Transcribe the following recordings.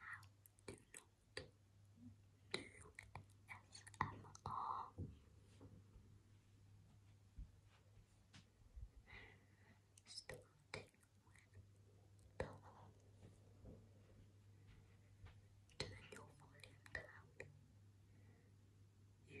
Now, do not do SMR. Starting with the Turn volume down. You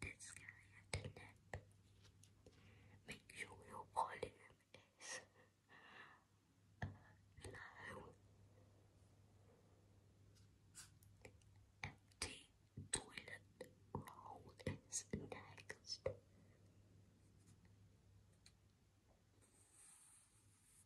This guy had to nap. Make sure your volume is low. Empty toilet roll is next.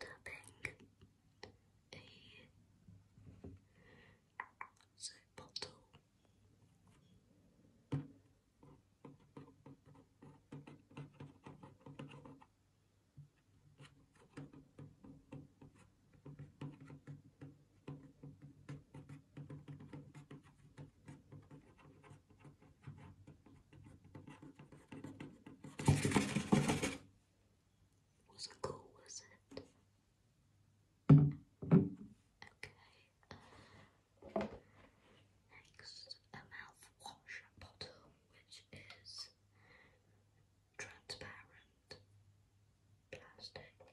tapping a soap bottle. Was it cool, was it? Okay. Um, next, a mouthwash bottle which is transparent plastic.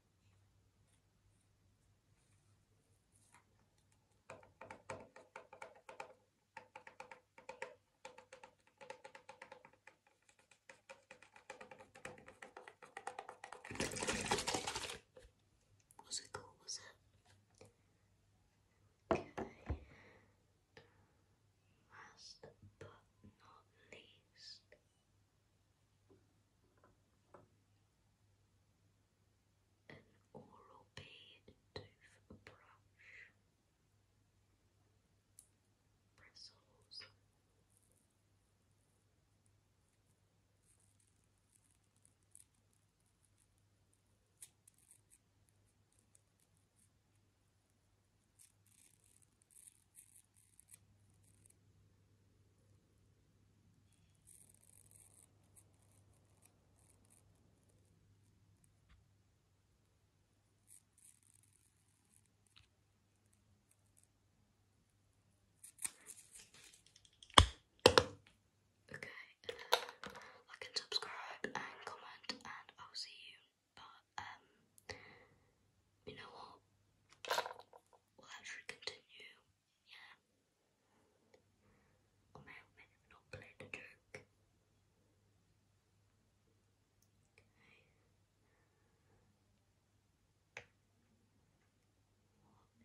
Was it cool? Was it? Okay. Last but not least, an oral B tooth Bristles. Okay, uh, like and subscribe and comment, and I'll see you but um, you know what? We'll actually continue. Yeah. Or may I not play the joke? What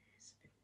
is next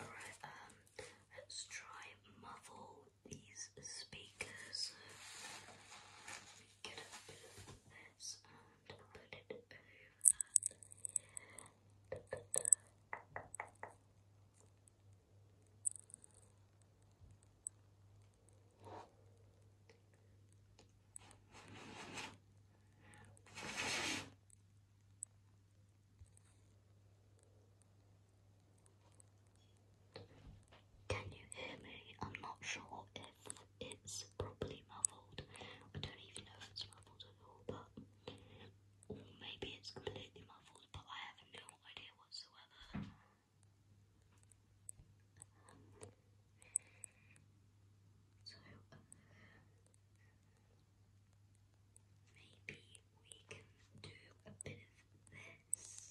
Alright, um, let's try muffle these speakers and Can you hear me? I'm not sure if it's probably muffled. I don't even know if it's muffled at all, but maybe it's completely muffled, but I have no idea whatsoever. so maybe we can do a bit of this.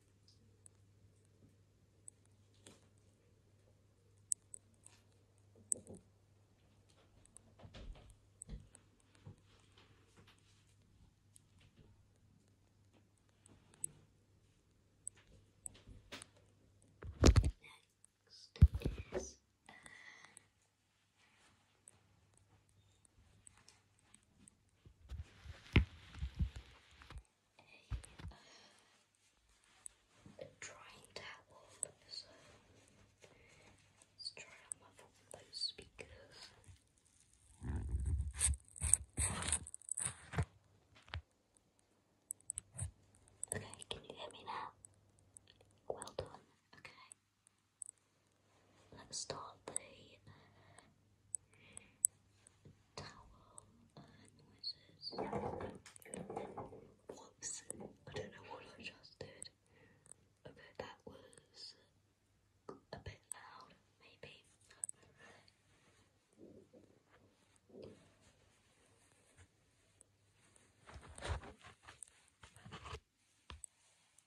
Next is uh, a, uh, a drying let's try out my those speakers. Okay, can you hear me now? Well done. Okay. Let's start the towel noises. Whoops, I don't know what I just did. Okay, that was a bit loud, maybe.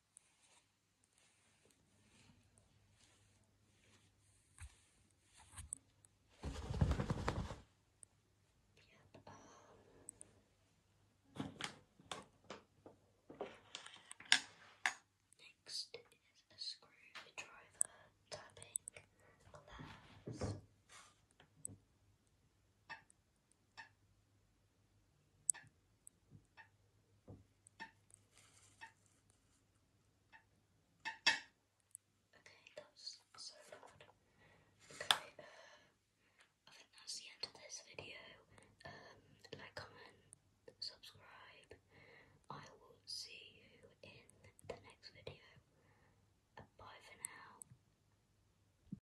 Yep. Um, next is a screwdriver tapping allows Okay, that's so loud. Okay, uh, I think that's the end of this video. Um, like, comment, subscribe. I will see you in the next video. Bye for now.